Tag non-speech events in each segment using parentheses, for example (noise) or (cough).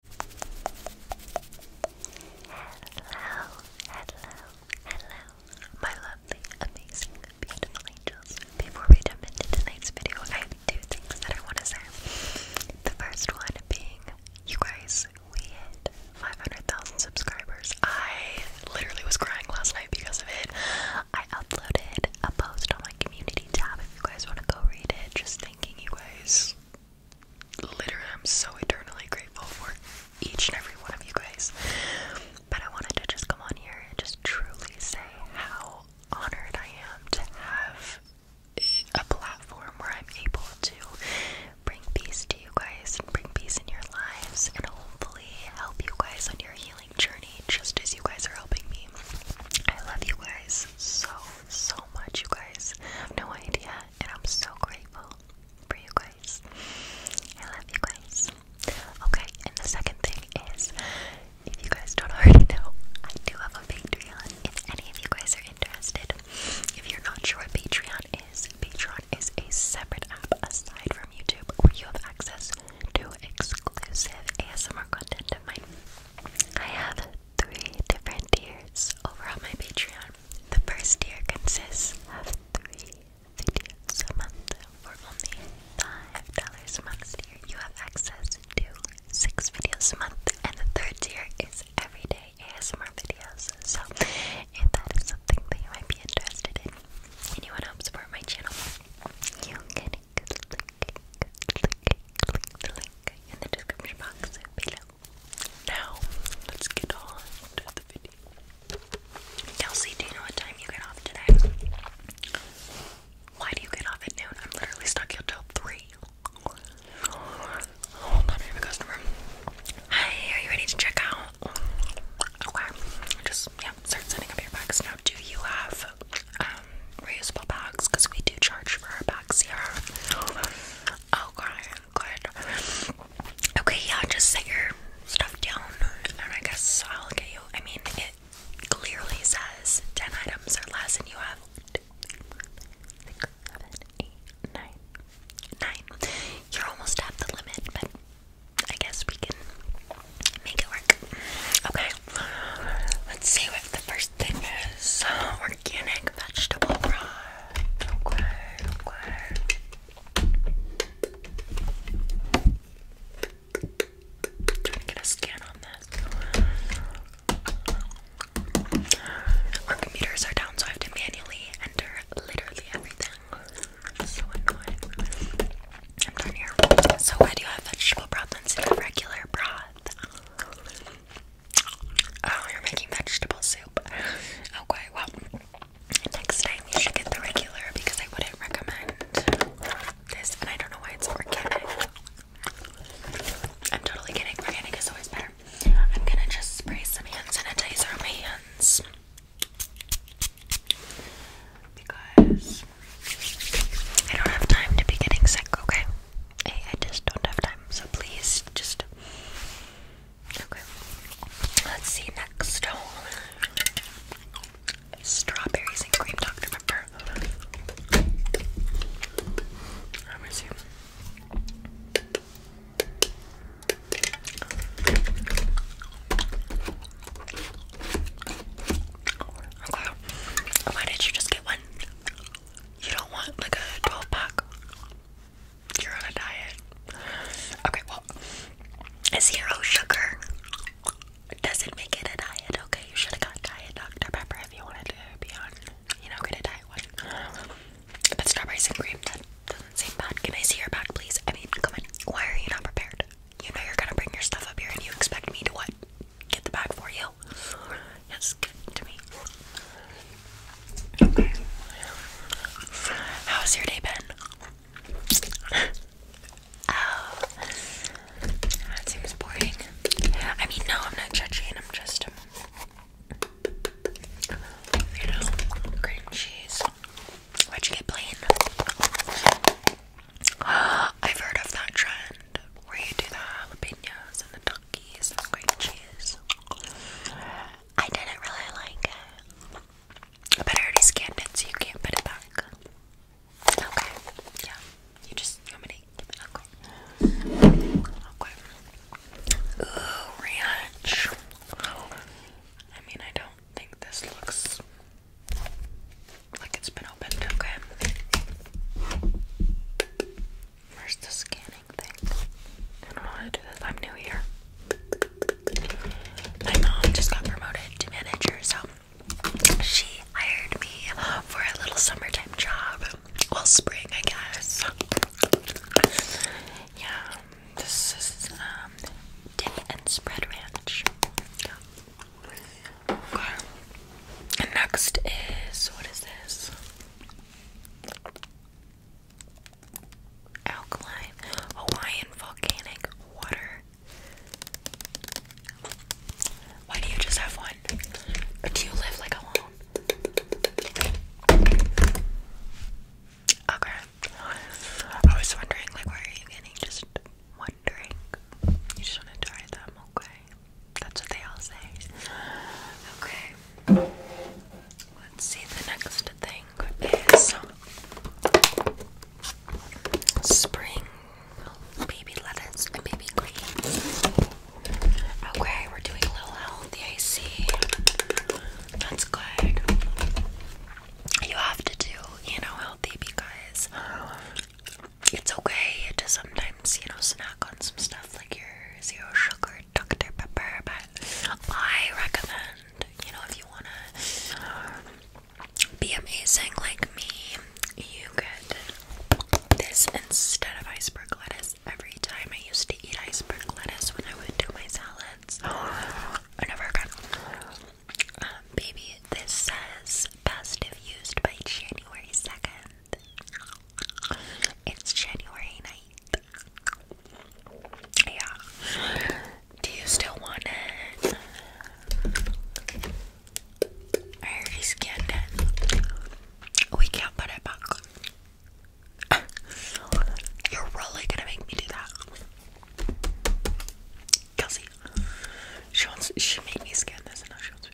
Hello, hello, hello, my lovely, amazing, beautiful angels. Before we jump into tonight's video, I have two things that I want to say. The first one being, you guys, we hit 500,000 subscribers. I literally was crying last night because of it. I uploaded a post on my community tab if you guys want to go read it, just thinking, you guys literally, I'm so eternally grateful for each and every one of you guys. But I wanted to just come on here and just truly say how honored I am to have a platform where I'm able to bring peace to you guys and bring peace in your lives and hopefully help you guys on your healing journey just as you guys are helping me. I love you guys so so much, you guys. I have no idea, and I'm so grateful for you guys. I love you guys. Okay, and the second thing is if you guys don't (laughs) already know, I do have a Patreon if any of you guys are interested. If you're not sure what Patreon is, Patreon is a separate app aside from YouTube where you have access to exclusive ASMR content of mine. I have three different tiers over on my Patreon. The first tier consists of three videos a month for only $5 a month. Tier. You have access to six videos a month, and the third tier is everyday ASMR videos. So, if that is something that you might be interested in and you want to support my channel, you can in the description box below. Now, let's get on to the video. Kelsey, do you know what time you get off today? Why do you get off at noon? I'm literally stuck here till 3. Hi, oh, are you ready to check out? Okay, just, yeah, start setting up your box. do you have um, reusable bags because we do charge for our bags here. Oh, good, Okay, yeah, just set your stuff down, and I guess I'll get you. I mean, it clearly says 10 items or less, and you have 9. 9. You're almost at the limit, but I guess we can make it work. Okay, let's see what the first thing is organic vegetable brine. Okay, okay. get a scan on this. Our computers are down, so I have to manually enter literally everything. so annoying. I'm done here. So why do you have vegetable broth instead of regular broth? Oh, you're making vegetable soup. (laughs) Okay, well, next time you should get the regular because I wouldn't recommend this, and I don't know why it's organic. I'm totally kidding. Organic is always better. I'm gonna just spray some hand sanitizer on my hands because I don't have time to be getting sick, okay? I, I just don't have time, so please just. Okay. Let's see next. Oh. Strawberries and cream Dr. Pepper. Let me see. Why did you just get one? You don't want like a 12 pack. You're on a diet. Okay, well, zero sugar doesn't make it a diet, okay? You should have got diet Dr. Pepper if you wanted to be on, you know, gonna diet one. But strawberries and cream, that doesn't seem bad. Can I see your pack, please? I mean, come on. Why are you not prepared? You know you're gonna bring your stuff up here and you expect me to what? get the bag for you. Yes, give it to me. How's your day been? oh, that seems boring. I mean, no, I'm not judging. I'm just, um, you know, cream cheese. Why'd you get plain? (gasps) I've heard of that trend where you do the jalapenos and the donkeys and the cheese. I didn't really like it, but I already scanned it, so you can't put it back. Okay, yeah, you just you want Okay, okay. ranch. I mean, I don't think this looks like it's been opened, okay? Where's the scanning thing? I don't know how to do this. I'm new here. My mom just got promoted to manager, so she hired me for a little summertime job. Well, spring, I guess. Yeah, this is um, dip and spread ranch. And next is what is this? Alkaline Hawaiian volcanic water. Why do you just have one? do you live like alone? Okay. I was wondering like why are you getting just one wondering. You just want to try them, okay? That's what they all say. Okay. Let's see, the next thing is spring baby lettuce and baby green. Okay, we're doing a little healthy, I see. That's good. You have to do, you know, healthy because it's okay to sometimes, you know, snack on some stuff like your zero sugar Dr. Pepper, but I recommend, you know, if you want to be amazing like me, you could this instead of iceberg lettuce. Every time I used to eat iceberg lettuce when I would do my salads, (gasps) I never got. Um, baby this says best if used by January 2nd. It's January 9th. Yeah. Do you still want it? I already scanned it. We can't put it back. You're really gonna make me do that. Kelsey, she wants. She made me scan this, and now she wants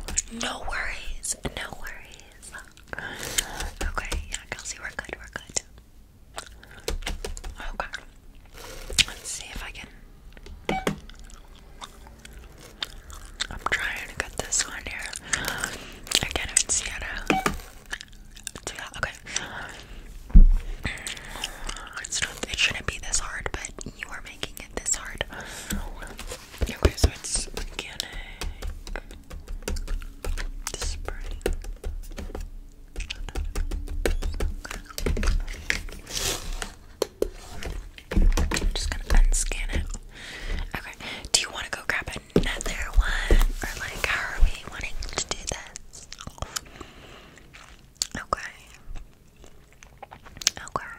me. Okay. No worries. No worries. Okay. Yeah, Kelsey, we're good. We're good. Okay. Let's see if I can. I'm trying to get this one here. I can't even okay. it shouldn't be this hard, but you are making it this hard. Okay, so it's organic. just gonna unscan it. Okay. Do you wanna go grab another one? Or like how are we wanting to do this? Okay. Okay.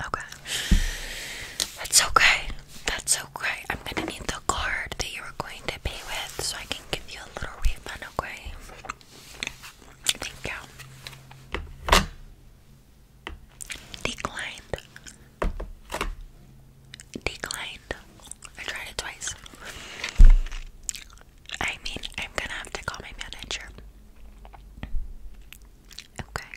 Okay. That's okay. That's okay. I'm gonna need the card that you are going to pay with so I can give you a little refund, okay? Thank you. Declined. Declined. I tried it twice. I mean, I'm gonna have to call my manager. Okay.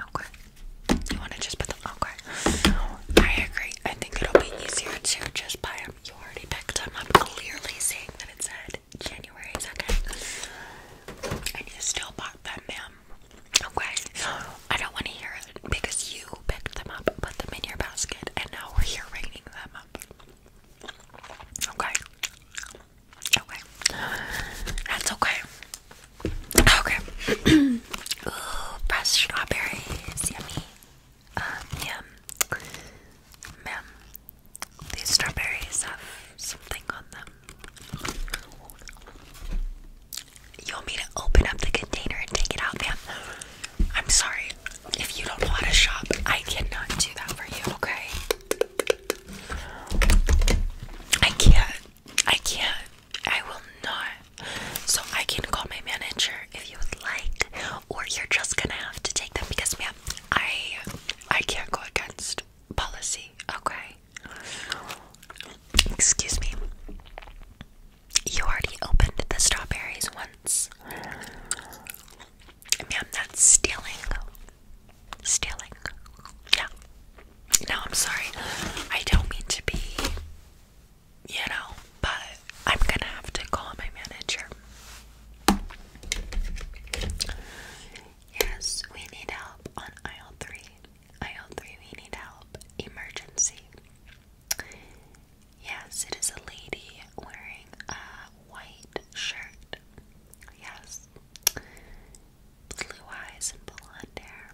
Okay. You wanna just put them? Okay. I agree. I think it'll be easier to just buy them. You already picked them up, clearly saying that it said January 2nd. And you still bought them, ma'am. Okay, I don't want to hear it because you picked them up, put them in your basket, and now we're here ringing them up. Okay, okay, that's okay. Okay, (clears throat) fresh strawberries, yummy. Um, yum, These strawberries have something on them. You want me to open up the container and take it out, ma'am? I'm sorry. If you don't know how to shop, I cannot do that for you, okay? I can't. I can't. I will not. So I can call my manager if you would like, or you're just gonna have to take them because, ma'am, I I can't go against policy, okay? Excuse me. You already opened the strawberries once. I mean, Ma'am, that's stealing. Stealing. Yeah. No, I'm sorry. I don't mean to be, you know, but I'm gonna have to call my manager. Yes, we need help on aisle three. Aisle 3, we need help. Emergency. Yes, it is a lady wearing a white shirt. Yes. Blue eyes and blonde hair.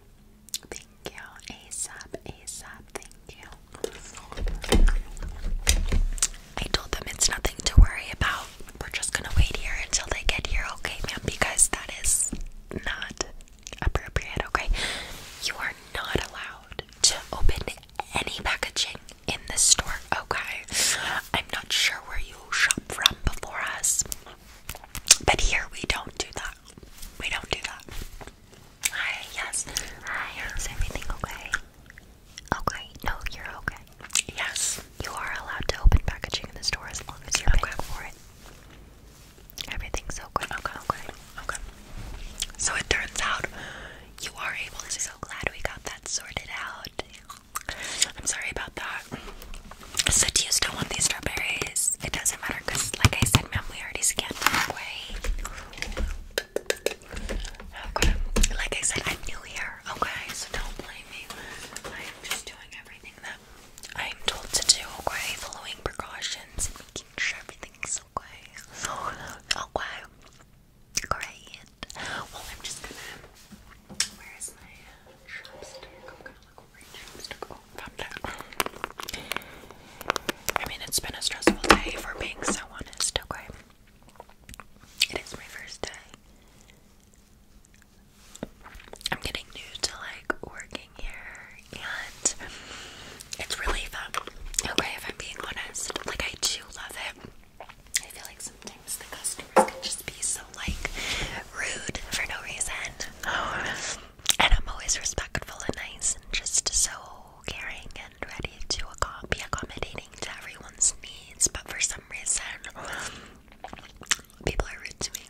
Thank you. ASAP, ASAP, thank you. I told them it's nothing to worry about. We're just gonna wait here until they get here, okay, ma'am? Because that is not appropriate, okay? You are not allowed to open any packaging in the store, okay? I'm not sure where you shop from before us, but here we don't do that. We don't do that. Hi, yes. Hi, is everything okay? Okay, no, you're okay. Yes. You are allowed to open packaging in the store as long as you're paying for it. Everything's so good. Okay, okay, okay. So it turns out you are able to. So glad we got that sorted out. I'm sorry about that. So do you still want these strawberries? It doesn't matter because, like I said, Mom, we already scanned them away. Okay. Like I said, I'm new here. Okay, so don't blame me. I'm just doing everything I am told to do, okay? Following precautions and making sure everything's okay. Okay. Great. Well, I'm just gonna. Where is my chopstick? I'm gonna look over your chopstick. Oh, found it. I mean, it's been a stressful day, for being so honest, okay? It is my first day. I'm getting new to like working here and it's really fun. Okay, if I'm being honest, like I do love it. I feel like sometimes the customers can just be so like rude for no reason. And I'm always respectful and nice and just so caring and ready to be accommodating to everyone's needs. But for some reason, People are rude to me.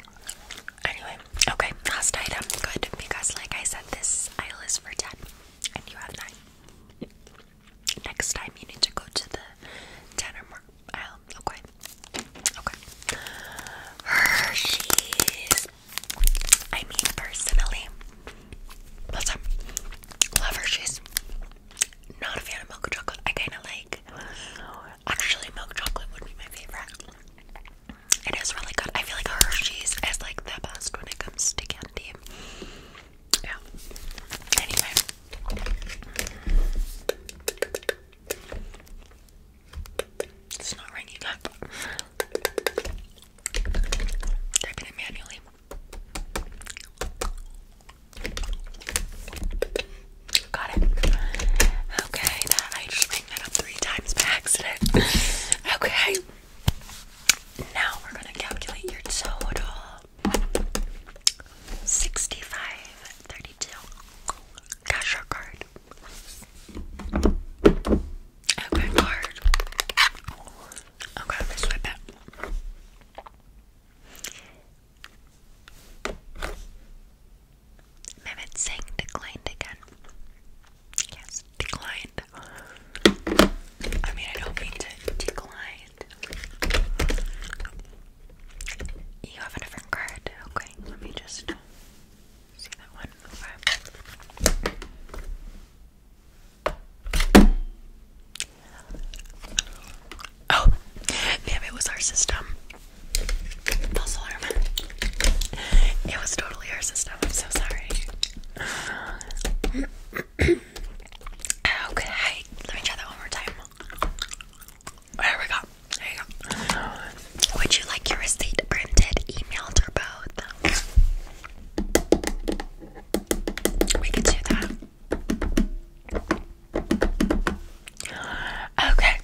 Anyway, okay, last item. Good, because like I said, this aisle is for 10, and you have 9. Next time you need to go to the 10 or more aisle. Okay. Okay. Hershey's. I mean, personally, what's up? Love Hershey's. Not a fan of milk chocolate. I kind of like Actually, milk chocolate would be my favorite. It is really good. I feel like Hershey's is like the best when it comes to candy. Yeah. Anyway. It's not ringing up. they manually. Got it. Okay, that I just rang that up three times by accident. Okay. Now we're gonna calculate your total. 65, Cash or card? Okay, card. Okay, let's swipe it. Mehmet Singh declined again. Yes, declined. I mean, I don't mean to decline. You have a different card. Okay, let me just see that one. Oh, damn, it was our system. False alarm. It was totally our system. I'm so sorry. okay, let me try that one more time. There we go. There you go. Would you like your receipt printed, emailed, or both? We could do that. Okay,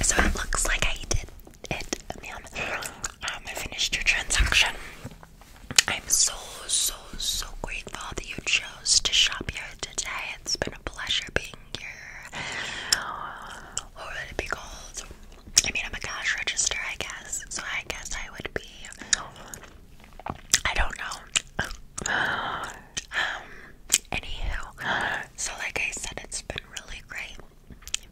so it looks like I did it, man. Um, I finished your transaction. I'm so, so, so grateful that you chose to shop here today. It's been a pleasure being here. What would it be called? I mean, I'm a cash register, I guess. So I guess I would be. I don't know. Um, anywho, so like I said, it's been really great.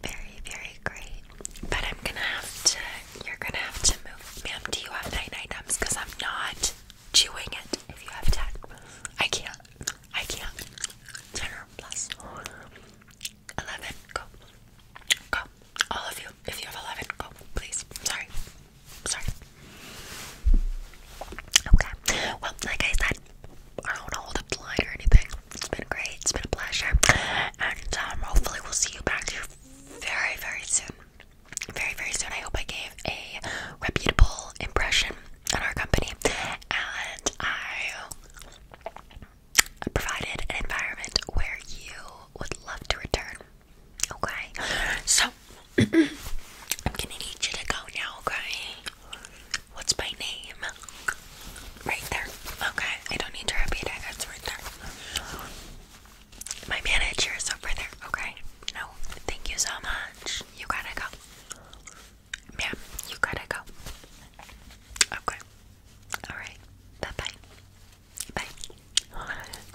Very, very great. But I'm gonna have to, you're gonna have to move. Ma'am, do you have nine items? Because I'm not chewing it if you have ten. I can't. I can't. Ten or plus. Eleven. Go. Go. All of you. If you have eleven, go. Please. Sorry. Sorry. Okay. Well, like I said, I don't want to hold the line or anything. It's been great. It's been a pleasure. And um, hopefully we'll see you back here very, very soon. Very, very soon. I hope I gave a reputable impression on our company. And I provided an environment where you would love to return. Okay? So I'm gonna need you to go now, okay? What's my name? Right there. Okay, I don't need to repeat it. It's right there. My manager is over there, okay? No, thank you so much. You gotta go. Ma'am, you gotta go. Okay. Alright. Bye bye. Bye.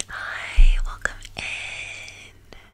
Hi, welcome in.